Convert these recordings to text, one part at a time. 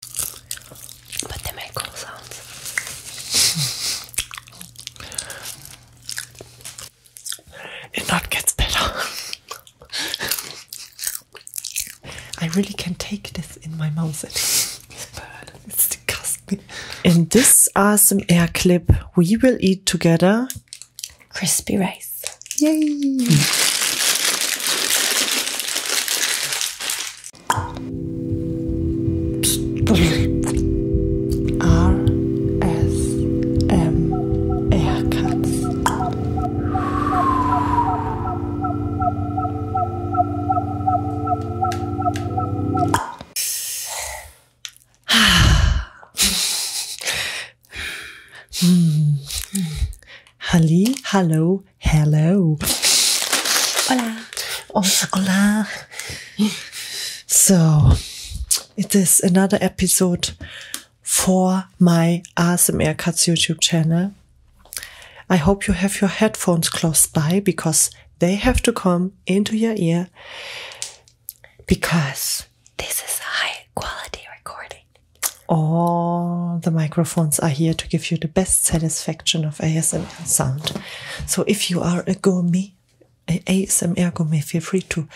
But they make cool sounds. It not gets better. I really can take this in my mouth. it's disgusting. In this ASMR clip, we will eat together crispy rice. Yay! R S M haircuts. Halli, hallo hello, Hola. Oh, hola. So, it is another episode for my ASMR Cuts YouTube channel. I hope you have your headphones close by because they have to come into your ear because this is a high quality recording. All the microphones are here to give you the best satisfaction of ASMR sound. So if you are a gourmet, a ASMR gourmet, feel free to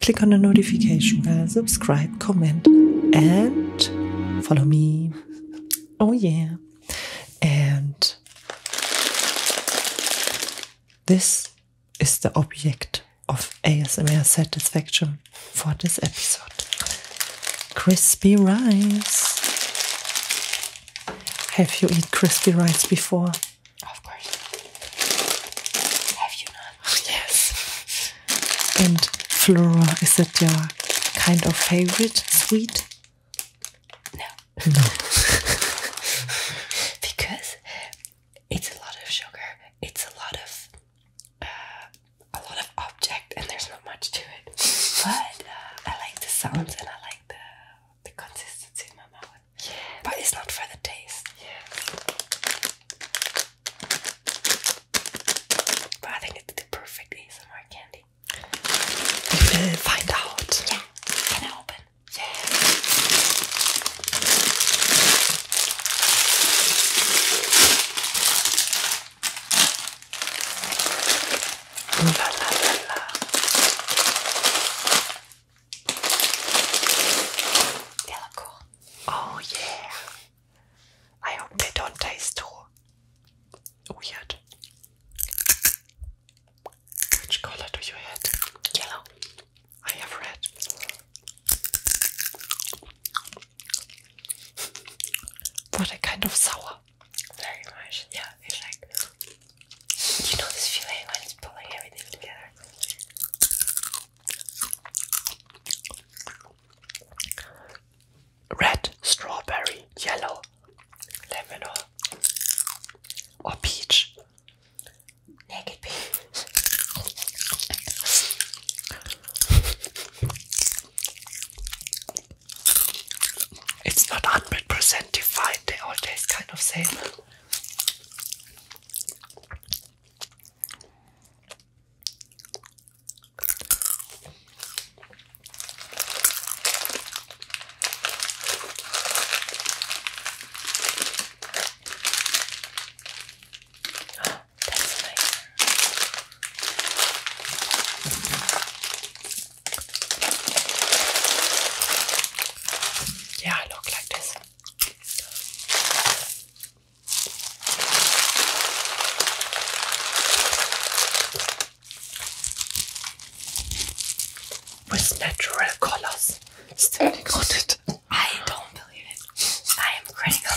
click on the notification bell, subscribe, comment, and follow me. Oh yeah. And this is the object of ASMR satisfaction for this episode. Crispy rice. Have you eat crispy rice before? Of course. Have you not? yes. And Flora, is that your kind of favorite sweet? No. No. because it's a lot of sugar, it's a lot of uh, a lot of object and there's not much to it. But uh, I like the sounds and I like the the consistency in my mouth. Yeah. But it's not for the taste. Yeah. But I think it's the perfect candy. We will find out. Yeah. Can I open? Yeah. La la Oh yeah. I hope they don't taste too weird. Which color do you have? Yellow. I have red. What a kind of sour very much. Yeah, it's like you know this feeling when it's pulling everything together. Red, strawberry, yellow, lemon or, peach. Naked peach. It's not 100% defined, they all taste kind of same. Ah, that's nice. Yeah, look like this. With natural colors standing on it. I don't believe it. I am critical.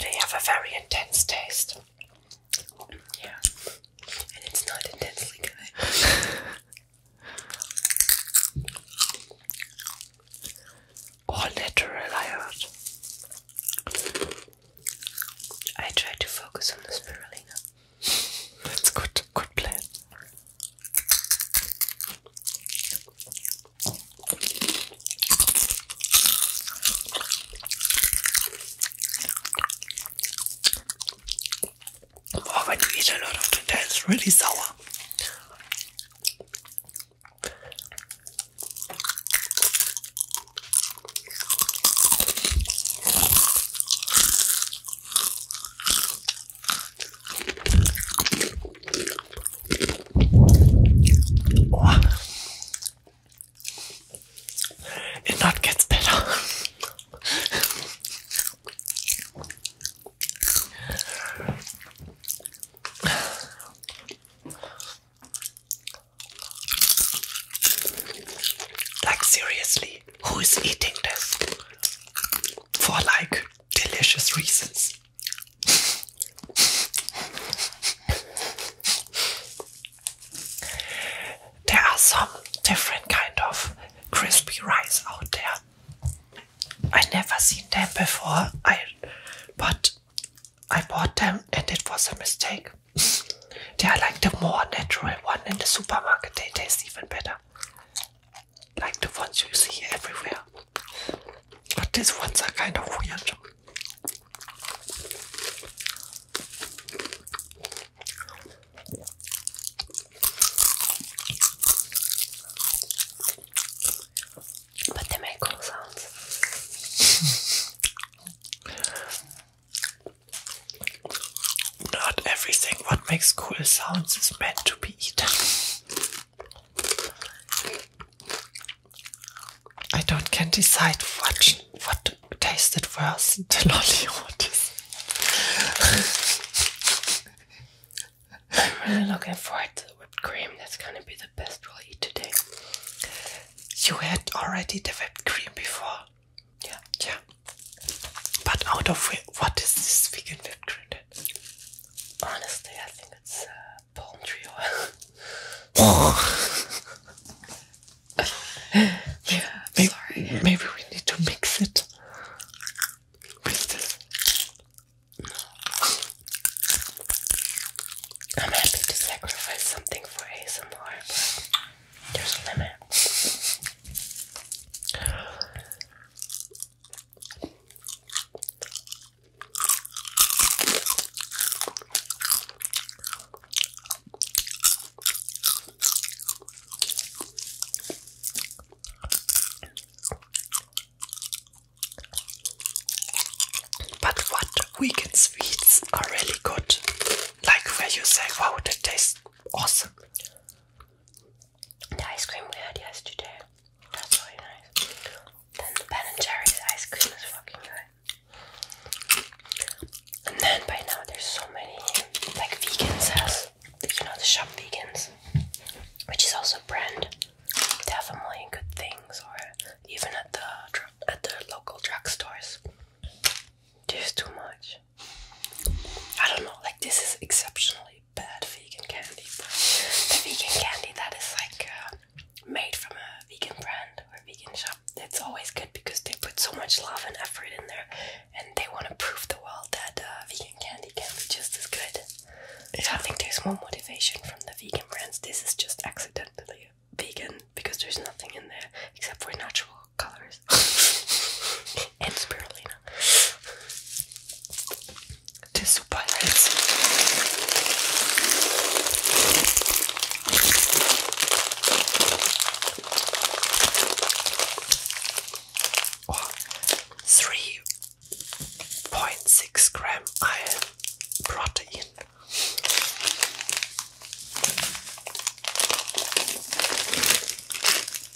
They have a very intense taste. Yeah. And it's not intensely good. All natural, I tried to focus on the spirulina. That's good, good plan. Or oh, when you eat a lot of it, it's really sour. It not gets better. like seriously, who is eating this? for like delicious reasons. there are some different kind of crispy rice out there. I never seen them before. I but I bought them and it was a mistake. they are like the more natural one in the supermarket. They taste even better like the ones you see everywhere. But these ones are kind of weird. But they make cool sounds. Not everything what makes cool sounds is meant to be eaten. I don't can decide what what tasted worse, the lolly or this. I'm really looking forward to the whipped cream. That's gonna be the best we'll eat today. You had already the whipped cream before. Yeah, yeah. But out of what is this vegan whipped cream? Honestly, I think it's uh, palm tree oil. yeah, maybe, Maybe we need to mix it I'm happy to sacrifice something for ASMR, but there's a limit. But what weekend sweets are really good, like when you say, wow, that tastes awesome the ice cream we had yesterday. That's really nice. Then the Ben and Jerry's ice cream is fucking good. And then by now there's so many like vegans, says. You know the shop vegans. Which is also a brand. They have a million good things or even at the at the local drugstores. There's too much. I don't know, like this is exceptionally bad vegan candy. vegan candy that is like uh, made from a vegan brand or a vegan shop, it's always good because they put so much love and effort in there and they want to prove the world that uh, vegan candy can be just as good. I think there's more motivation from the vegan brands. This is just accidentally vegan because there's nothing in there except for natural colors. and spirulina. Tissue pirates. gram iron protein.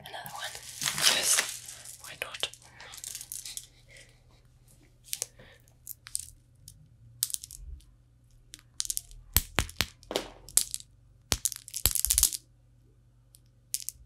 Another one. Yes. Why not?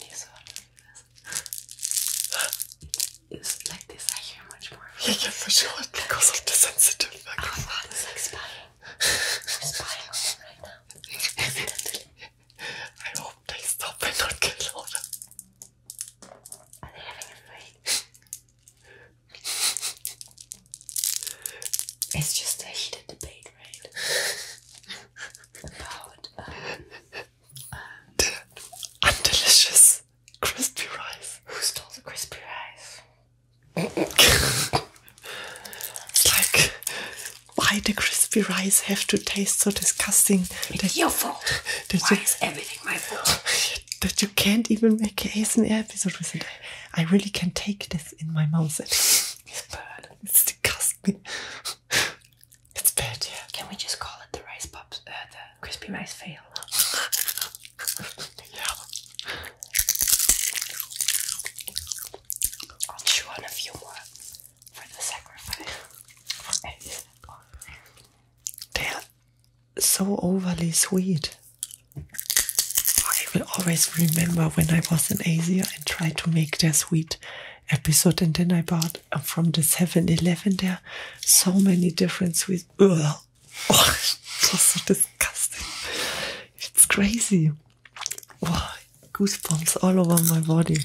Yes, It's like this, I hear much more because of the sensitive oh, I hope they stop and not get louder. it's just a heated debate, right? About um, the uh, delicious crispy rice. Who stole the crispy rice? it's like, why the crispy rice have to taste so disgusting? It's your fault. That why is everything my fault? That you can't even make a ASMR episode with I really can take this in my mouth. It's bad. It's disgusting. It's bad, Can we just call it the rice pops, uh, the crispy rice fail? yeah. I'll chew on a few more for the sacrifice. they are so overly sweet. I will always remember when I was in Asia and tried to make their sweet episode, and then I bought got uh, from the 7-Eleven. There are so many different sweets. Ugh. Oh, it's so disgusting. It's crazy. goosebumps all over my body.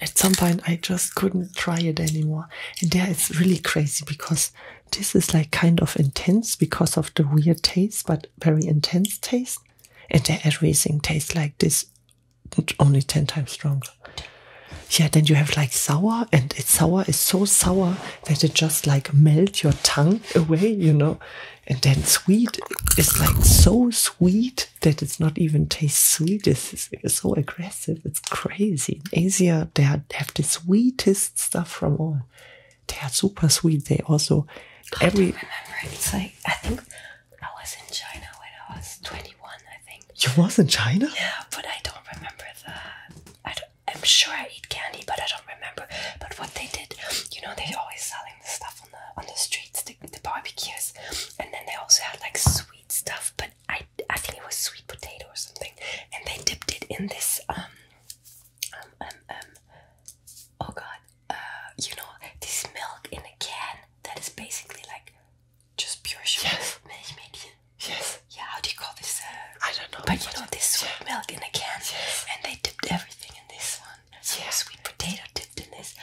At some point, I just couldn't try it anymore. And there it's really crazy because this is like kind of intense because of the weird taste, but very intense taste. And everything tastes like this only 10 times stronger. Yeah, then you have like sour, and it's sour is so sour that it just like melt your tongue away, you know. And then sweet is like so sweet that it's not even taste sweet. It's, so aggressive. It's crazy. Asia, they have the sweetest stuff from all. They are super sweet. They also every. I think I was in China when I was 21, I think. You was in China? Yeah, but I don't remember that. I don't, I'm sure I eat candy, but I don't remember. But what they did, you know, they always selling the stuff on the on the streets, the, the barbecues, and then they also had like sweet stuff. But I I think it was sweet potato or something, and they dipped it in this um um um um. Oh God, uh, you know, this milk in a can that is basically like just pure sugar. Yes. Yes. Yeah, how do you call this? Uh, I don't know. But you know, this sweet milk in a can. Yes. And they dipped everything in this one. So yeah. sweet potato dipped in this.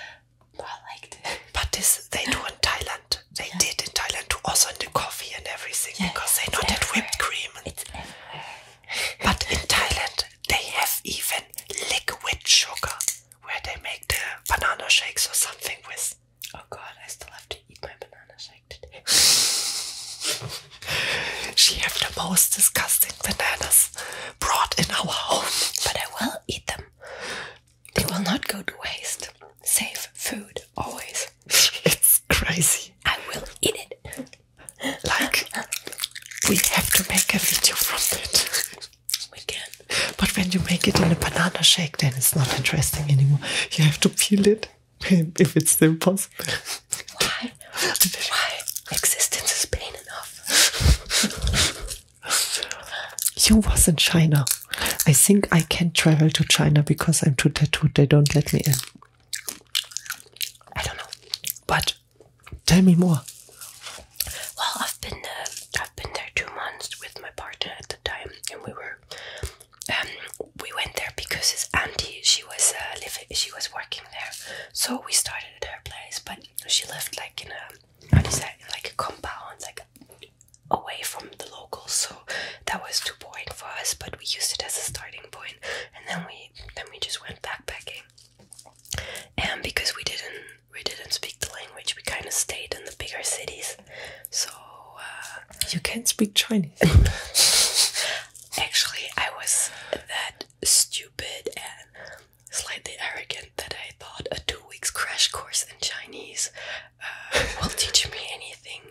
But I like. But this they do in Thailand. They did in Thailand too, also in the coffee and everything because they not had whipped cream. But in Thailand they have even liquid sugar where they make the banana shakes or something with. Oh god, I still have to eat my banana shake today. she have the most disgusting bananas brought in our house, but I will eat them. They will not go to waste. Save food always. it's crazy. I will eat it. Like we have to make a video from it. We can. But when you make it in a banana shake, then it's not interesting anymore. You have to peel it if it's still possible. Why? Why? Existence is pain enough. you was in China. I think I can travel to China because I'm too tattooed. They don't let me in. I don't know. But tell me more. Well, I've been uh, I've been there two months with my partner at the time, and we were um, we went there because his auntie she was uh, living she was working there, so we started at her place, but she lived like in a how do you say like a compound like away from the locals, so that was too boring for us. But we used it as a starting point, and then we then we just went backpacking, and because we didn't we didn't speak the language. We kind of stayed in the bigger cities. So uh, you can't speak Chinese. Actually, I was that stupid and slightly arrogant that I thought a two weeks crash course in Chinese uh, will teach me anything.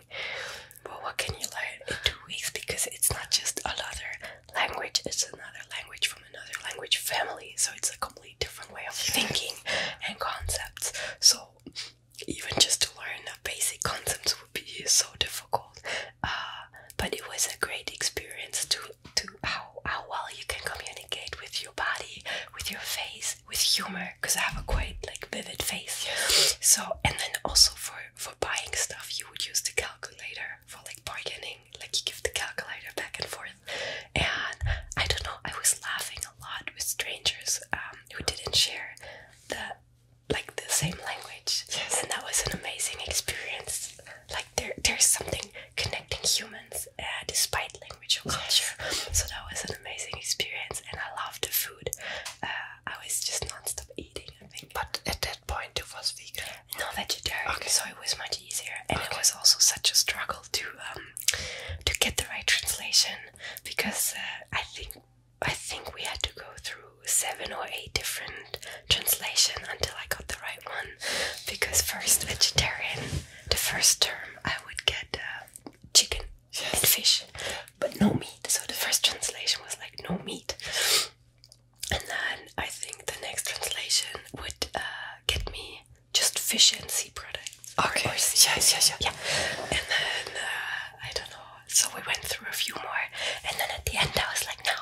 But what can you learn in two weeks? Because it's not just another language; it's another language from another language family, so it's a completely different way of thinking and concepts. So even just to learn the basic concepts would be so difficult. Uh, but it was a great experience to to how how well you can communicate with your body, with your face, with humor, because I have a quite like vivid face. So and then also for for buying stuff, you would use the calculator for like bargaining like you give the calculator back and forth. And I don't know, I was laughing a lot with strangers um, who didn't share the like the same language. Yes. And that was an amazing experience. Like there there's something connecting humans uh, despite language or culture. So that was an amazing experience and I loved the food. Uh, I was just non-stop eating I think. But at that point it was vegan. No vegetarian. Okay. So it was much easier. And it was also such a struggle to um, to get the right translation because uh, I think I think we had to go through seven or eight different translation until I got the right one because first vegetarian the first term I would get uh, chicken and fish but no meat so the first translation was like no meat and then I think the next translation would uh, get me just fish and sea products. Eh? Okay. Or, or sea Yeah. And then uh, I don't know. So we went through a few more, and then at the end I was like, no,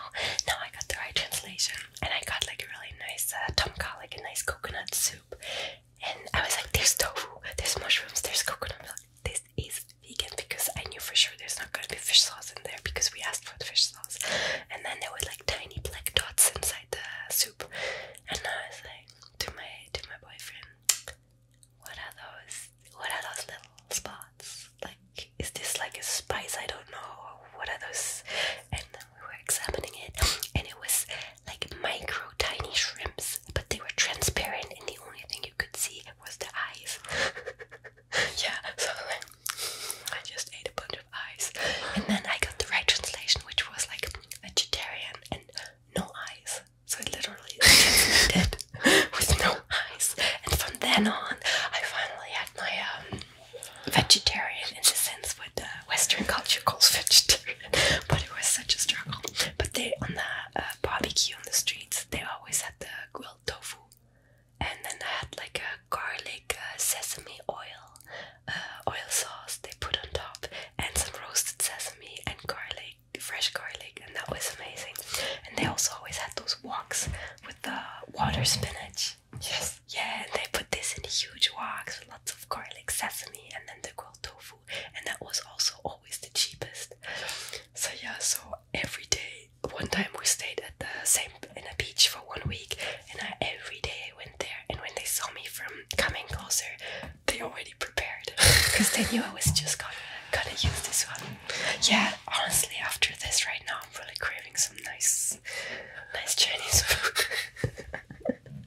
no, I got the right translation, and I got like a really nice uh, tomka, like a nice coconut soup, and I was like, there's tofu, there's mushrooms, there's coconut milk. This is vegan because I knew for sure there's not gonna be fish sauce in there because we asked for the fish sauce, and then there were like tiny black dots inside the soup soup. And I was like to my to my boyfriend, what are those what are those little spots? Like is this like a spice? I don't know. What are those? And we were examining it and it was like micro tiny shrimps, but they were transparent and the only thing you could see was the eyes. yeah, so I just ate a bunch eyes. And then I got the right translation, which was like vegetarian and no eyes. So I literally did with no eyes. And from then on, I finally had my um, vegetarian in the sense what the Western culture calls vegetarian. But it was such a struggle. But they on the uh, barbecue on the streets, they always had the grilled tofu. And then I had like a garlic uh, sesame oil, uh, oil sauce they put on top, and some roasted sesame and garlic, fresh garlic, and that was amazing. And they also always had those woks with the water spinach. Yes. Yeah, and they put this in huge woks with lots of garlic, sesame, and then the grilled tofu, and that was also always the cheapest. So yeah, so every day. One time we stayed at the same in a beach for one week, and I, every day I went there. And when they saw me from coming closer, they already prepared because they knew I was just gonna gonna use this one. Yeah, honestly, after this right now, I'm really craving some nice, nice Chinese food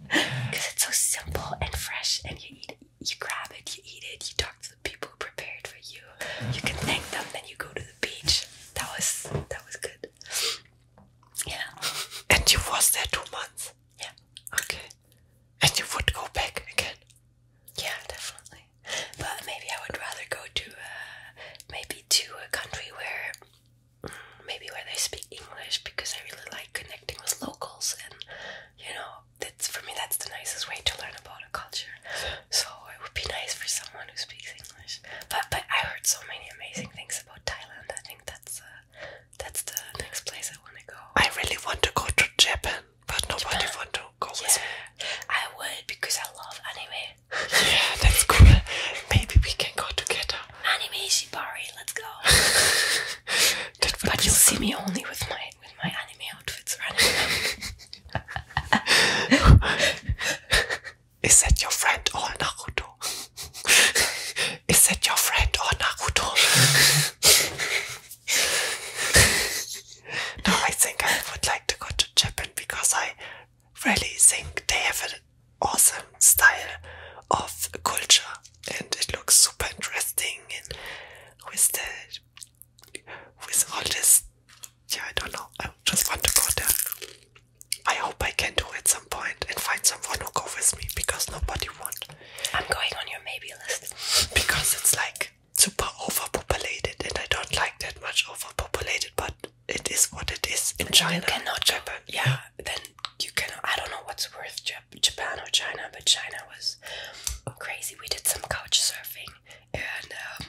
because it's so simple and fresh, and you eat, you grab it, you eat it, you talk to the people who prepared for you, you can thank them, then you go to the beach. That was that was good. Yeah. And you was there two months? Yeah. Okay. And you would go back again? Yeah, definitely. But maybe I would rather go to uh, maybe to a country where maybe where they speak English because I really like connecting with locals and you know that's for me that's the nicest way to learn about a culture. So it would be nice for someone who speaks English. But but I heard so many amazing things about Thailand. I think that's uh, that's the next place I want to go. I really want to go to Japan, but nobody Japan. want to go yeah. I would because I love anime. yeah, that's cool. Maybe we can go together. Anime Shibari, let's go. but you'll see me only with my with my anime outfits or anything. Is that your friend or Naruto? Is that your friend or Naruto? no, I think I would like to go to Japan because I really think they have an awesome style of culture and it looks super interesting and with the with all this yeah I don't know I just want to go there I hope I can do it some point and find someone who go with me because nobody want. I'm going on your maybe list because it's like super overpopulated and I don't like that much overpopulated, but it is what it is in China. You cannot Japan, yeah. Then you can. I don't know what's worth Japan or China, but China was crazy. We did some couch surfing and um,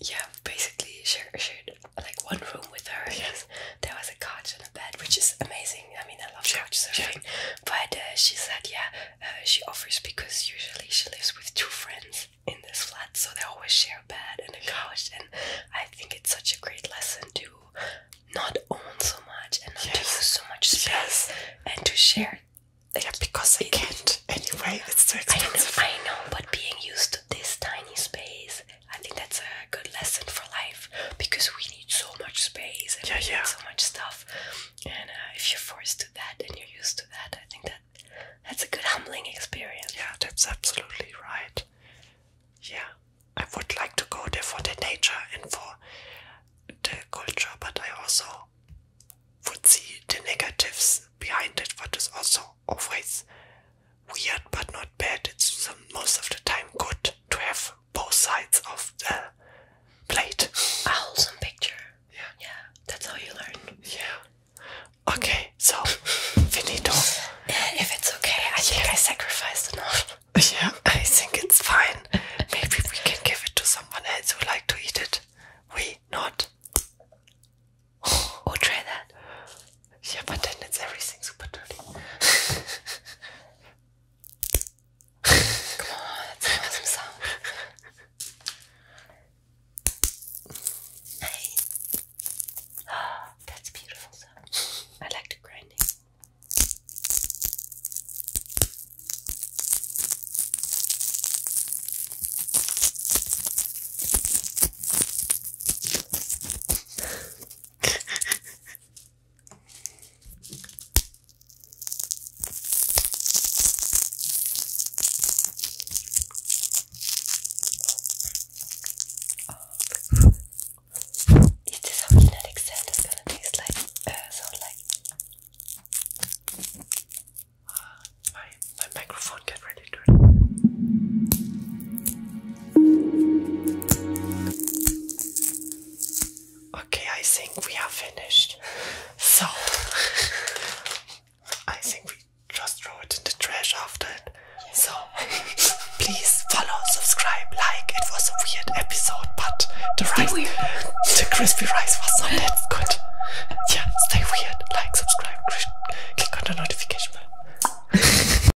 yeah, basically shared, shared like one room with her. Yes. There was a couch and a bed, which is amazing. I mean, I love yeah. couch surfing. Yeah. But uh, she said, yeah, uh, she offers because usually she lives with two friends in this flat, so they always share a bed and a couch. And I think it's such a great lesson to not own so much and not to use so much space and to share. Yeah, because I can't anyway. It's too expensive. I know, I know, but being used to this tiny space I think that's a good lesson for life because we need so much space and yeah, so much stuff. And uh, if you're forced to that and you're used to that, I think that that's a good humbling experience. Yeah, that's absolutely right. Yeah, I would like to go there for the nature and for the culture, but I also would see the negatives behind it, what is also always weird but not bad. It's most of the time good to have both sides of the plate. A wholesome picture. Yeah. Yeah. That's how you learn. Yeah. Okay, so finito. if it's okay, I think I sacrificed enough. Yeah, I think it's fine. Maybe we can give it to someone else who like to eat it. We not. Or try that. Yeah, but then it's everything super dirty. Come on, let's make some sound. Hey. Ah, that's beautiful I like the grinding. It is how you let accept it's gonna taste like uh, sound like ah, my my microphone can really do Okay, I think we are finished. So, I think we just throw it in the trash after it. So, please follow, subscribe, like. It was a weird episode, but the rice, the crispy rice was not that good. Yeah, stay weird. Like, subscribe, click on the notification bell.